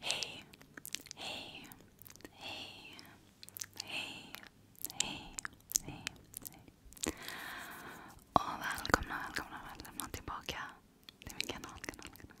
Hey, hey, hey, hey, hej, hej, hej. Och välkomna, välkomna, välkomna tillbaka till min kanal. kanal, kanal.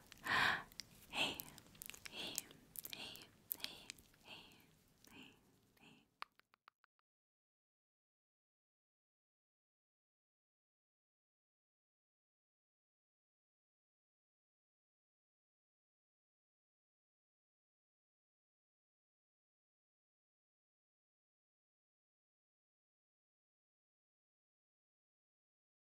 this. Hey, hey, hey, hey, hey, hey, hey.